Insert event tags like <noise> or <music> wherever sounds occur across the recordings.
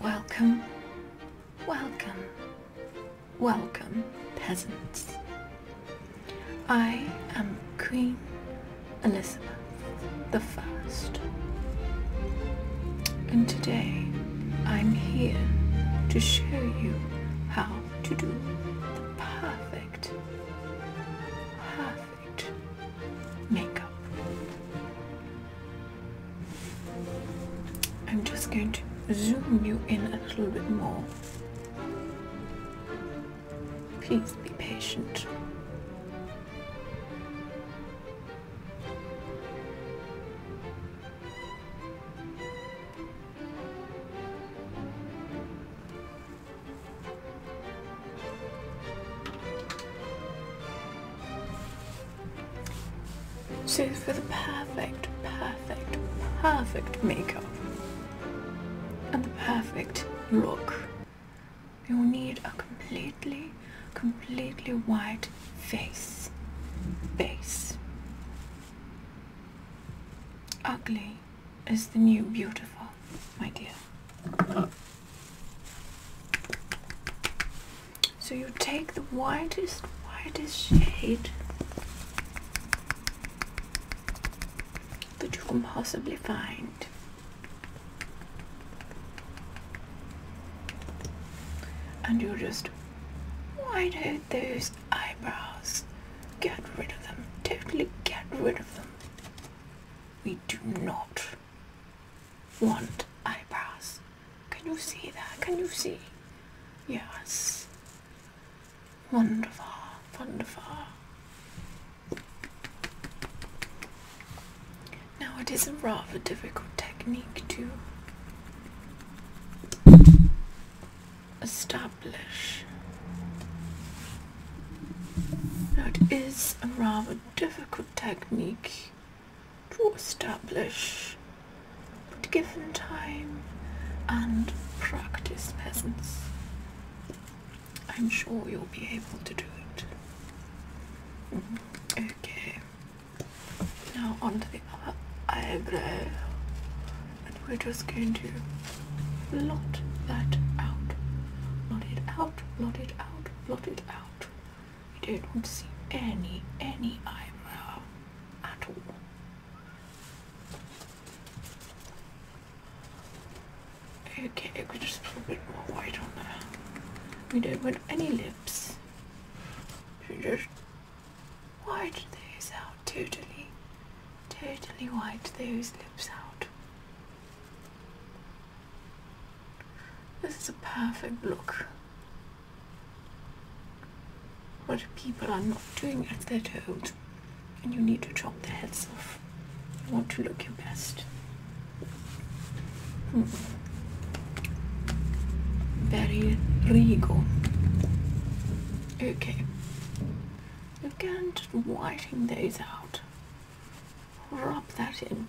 Welcome, welcome, welcome, peasants. I am Queen Elizabeth the First, and today I'm here to show you how to do the perfect, perfect perfect makeup. I'm just going to zoom you in a little bit more. Please be patient. So for the perfect, perfect, perfect makeup and the perfect look, you need a completely, completely white face, base. Ugly is the new beautiful, my dear. So you take the whitest, whitest shade that you can possibly find. And you just white out those eyebrows. Get rid of them. Totally get rid of them. We do not want eyebrows. Can you see that? Can you see? Yes. Wonderful, wonderful. Now it is a rather difficult technique to establish. Now it is a rather difficult technique to establish, but given time and practice, patience, I'm sure you'll be able to do it. Okay, now onto the other eyebrow, and we're just going to blot that out, blot it out, blot it out, blot it out. We don't see any, any eyebrow at all. Okay, we just put a bit more white on there. We don't want any lips. Just white those out totally. Totally white those lips out. This is a perfect look. What people are not doing as they're told, and you need to chop their heads off. You want to look your best. Hmm. Very regal. Okay. Again, just wiping those out rub that in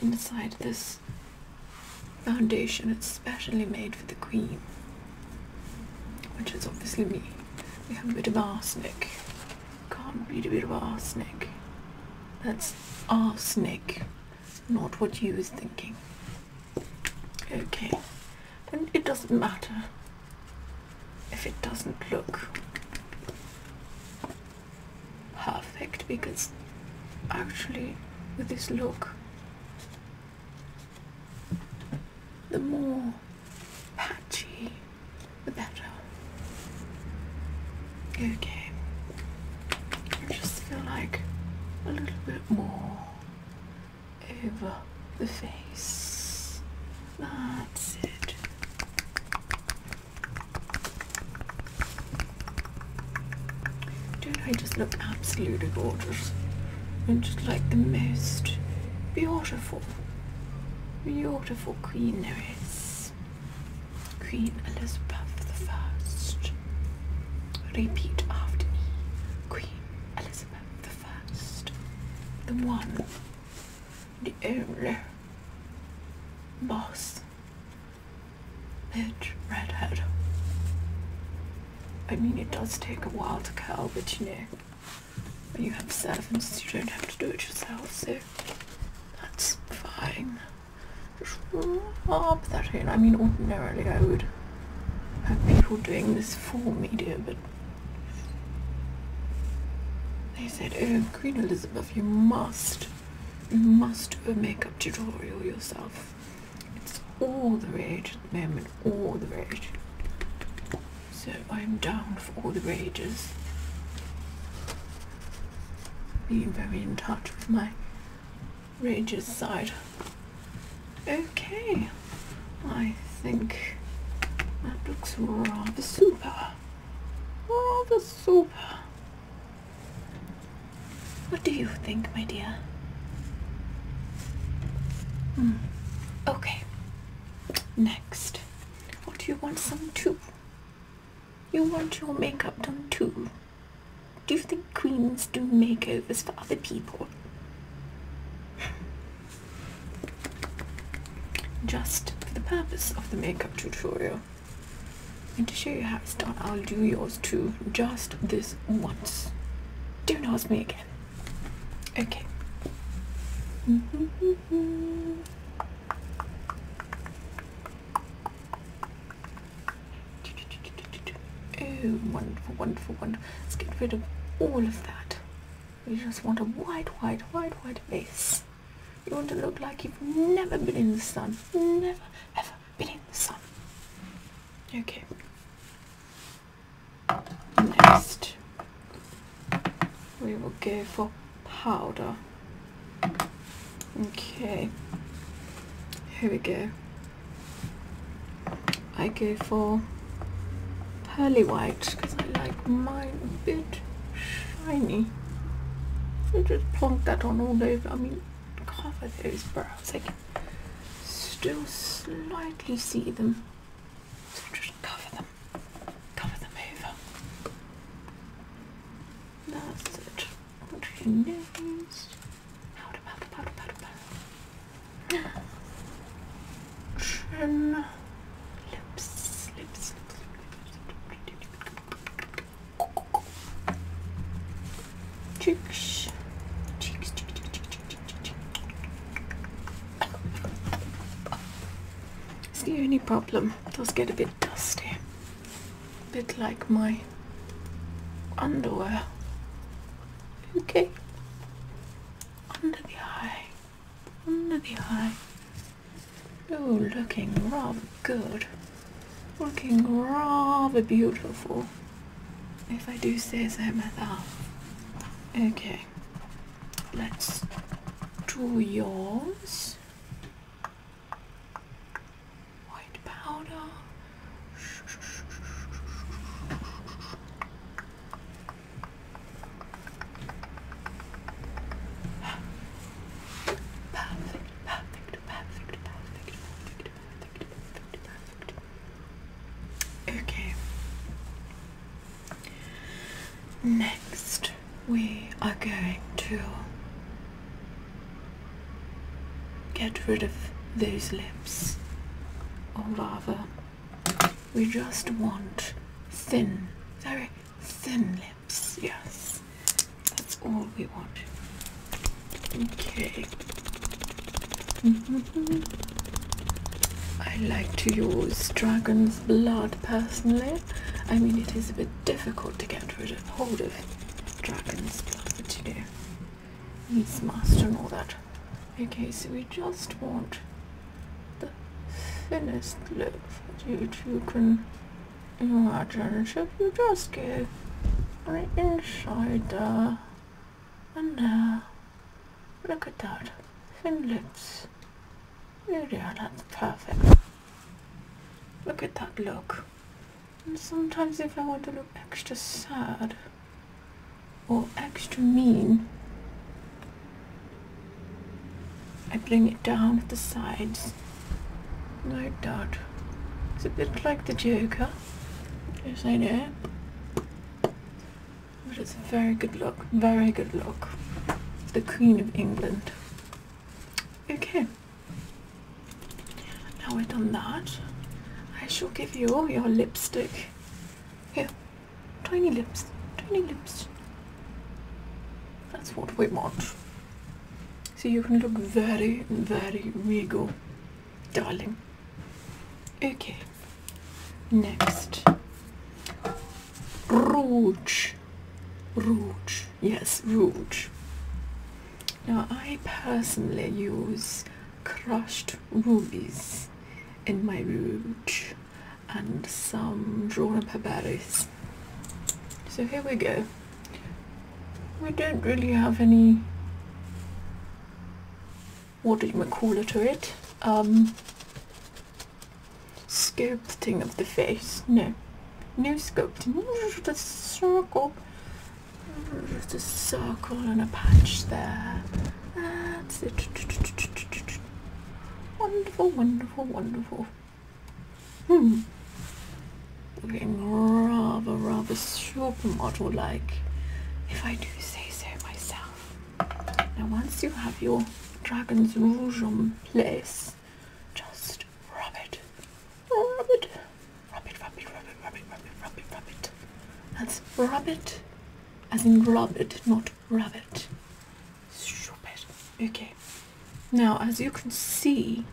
inside this foundation it's specially made for the queen which is obviously me we have a bit of arsenic can't read a bit of arsenic that's arsenic not what you was thinking okay and it doesn't matter if it doesn't look perfect because actually with this look the more patchy the better okay I just feel like a little bit more over the face don't I just look absolutely gorgeous? And just like the most beautiful, beautiful queen there is. Queen Elizabeth the First. Repeat after me. Queen Elizabeth the First, The one the only boss bitch redhead. I mean, it does take a while to curl, but you know, when you have servants, you don't have to do it yourself, so that's fine. Just rub that in. I mean, ordinarily I would have people doing this for me, dear, but they said, oh, Queen Elizabeth, you must, you must do a makeup tutorial yourself. It's all the rage at the moment, all the rage. So I'm down for all the rages. Being very in touch with my rages side. Okay. I think that looks rather super. Rather super. What do you think, my dear? Hmm. Okay. Next. What do you want some too? You want your makeup done too? Do you think queens do makeovers for other people? just for the purpose of the makeup tutorial and to show you how it's done I'll do yours too just this once don't ask me again okay <laughs> oh wonderful wonderful wonderful let's get rid of all of that you just want a white, white, white, white face. You want to look like you've never been in the sun. Never, ever been in the sun. Okay. Next, we will go for powder. Okay. Here we go. I go for pearly white because I like mine a bit shiny. So just plonk that on all over. I mean, cover those brows. I can still slightly see them. So just cover them. Cover them over. That's it. Put your nose. Powder, powder, powder, powder, powder. Chin. Lips. Lips. Cheeks. Cheeks. Cheeks. It's the only problem. It does get a bit dusty. A bit like my underwear. Okay. Under the eye under the eye. Oh, looking rather good. Looking rather beautiful. If I do say so myself. Okay. Let's draw yours. White powder. Okay. Next, we are going to get rid of those lips, or rather, we just want thin, very thin lips. Yes, that's all we want. Okay. <laughs> I like to use dragon's blood personally. I mean, it is a bit difficult to get rid of hold of dragon's blood, but you know, needs must all that. Okay, so we just want the thinnest look that you two can imagine. So we just give right insider, and now uh, look at that, thin lips. There they oh, that's perfect. Look at that look. And sometimes if I want to look extra sad, or extra mean. I bring it down at the sides, No doubt. It's a bit like the Joker, yes I know, but it's a very good look, very good look. The Queen of England. Okay, now we've done that, I shall give you your lipstick. Here, Tiny lips, tiny lips. That's what we want. See, you can look very, very regal, darling. Okay. Next. Rouge. Rouge. Yes, rouge. Now I personally use crushed rubies in my rouge and some drawn up herbaris. So here we go. We don't really have any what do you call it to it? Um sculpting of the face. No. No sculpting. Just circle. Just a circle and a patch there. That's it. Wonderful, wonderful, wonderful. Hmm. Looking rather, rather supermodel like, if I do say so myself. Now, once you have your dragon's rouge on place, just rub it. Rub it. Rub it, rub it, rub it, rub it, rub it, rub it, rub it. That's rub it as in robbed, not rabbit. it. Okay. Now, as you can see,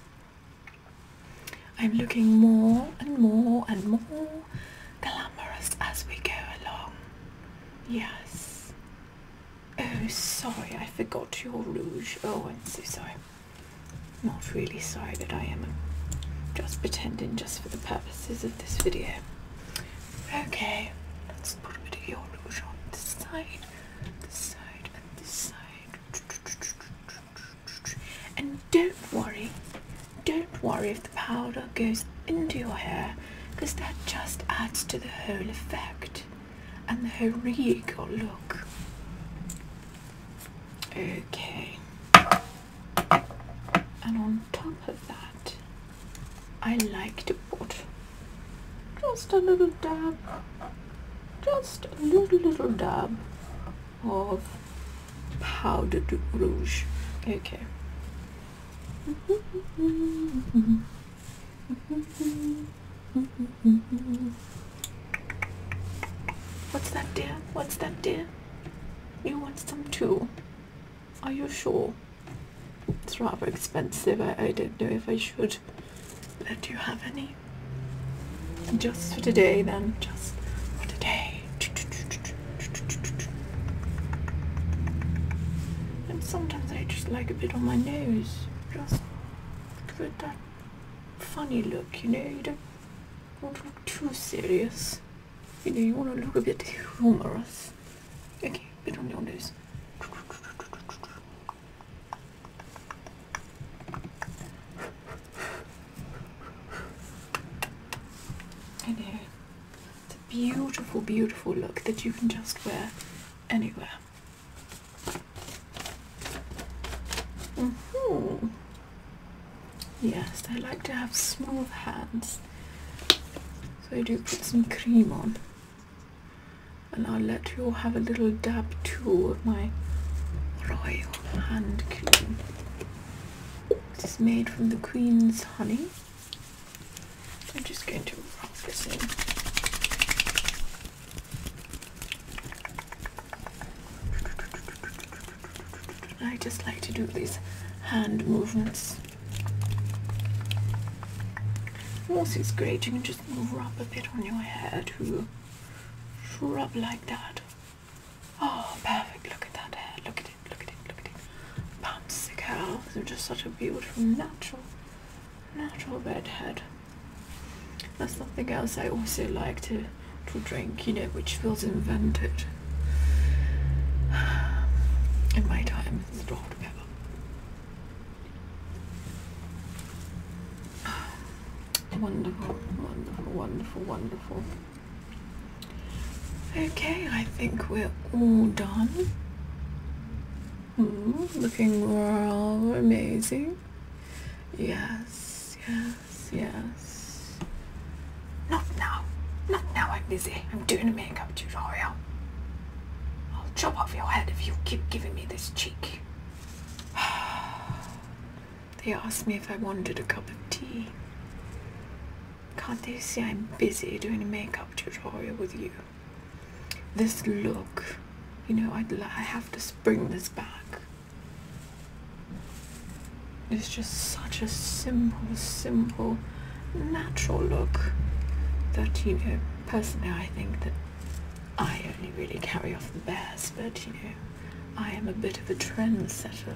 I'm looking more and more and more glamorous as we go along. Yes. Oh, sorry, I forgot your rouge. Oh, I'm so sorry. Not really sorry, but I am just pretending just for the purposes of this video. Okay, let's put a bit of your rouge on the side, this side, and this side. And don't worry, don't worry if the powder goes into your hair because that just adds to the whole effect and the whole look. Okay and on top of that I like to put just a little dab just a little little dab of powdered rouge okay <laughs> What's that dear? What's that dear? You want some too? Are you sure? It's rather expensive. I, I don't know if I should let you have any. Just for today then. Just for today. And sometimes I just like a bit on my nose. Just give it that funny look, you know? You don't want to look too serious. You know, you want to look a bit humorous. Okay, bit on your nose. I know. It's a beautiful, beautiful look that you can just wear anywhere. hmm Yes, I like to have smooth hands. So I do put some cream on. And I'll let you have a little dab too of my royal hand cream. This is made from the queen's honey. I'm just going to rub this in. I just like to do these hand movements. Also it's great, you can just rub a bit on your hair Rub like that. Oh, perfect. Look at that hair. Look at it, look at it, look at it. Bouncy curl. They're just such a beautiful, natural, natural head. That's something else I also like to to drink, you know, which feels invented in my time as a dog Wonderful, wonderful, wonderful, wonderful. Okay, I think we're all done. Hmm, looking real amazing. Yes, yes yes, Not now. Not now, I'm busy. I'm doing a makeup tutorial. I'll chop off your head if you keep giving me this cheek. <sighs> they asked me if I wanted a cup of tea. Can't they see I'm busy doing a makeup tutorial with you? This look, you know, I'd, I have to spring this back. It's just such a simple, simple, natural look that, you know, personally I think that I only really carry off the bears, but, you know, I am a bit of a trendsetter.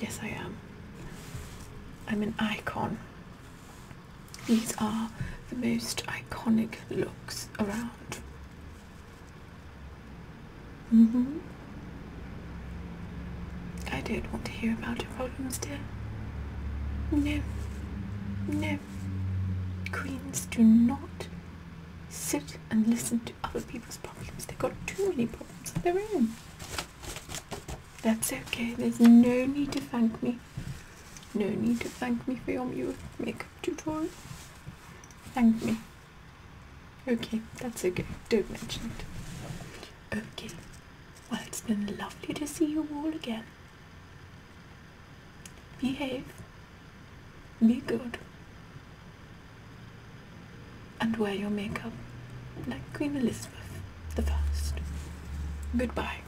Yes, I am. I'm an icon. These are the most iconic looks around hmm I don't want to hear about your problems, dear. No. No. Queens do not sit and listen to other people's problems. They've got too many problems of their own. That's okay. There's no need to thank me. No need to thank me for your makeup tutorial. Thank me. Okay, that's okay. Don't mention it. Okay. Well, it's been lovely to see you all again. Behave. Be good. And wear your makeup like Queen Elizabeth the First. Goodbye.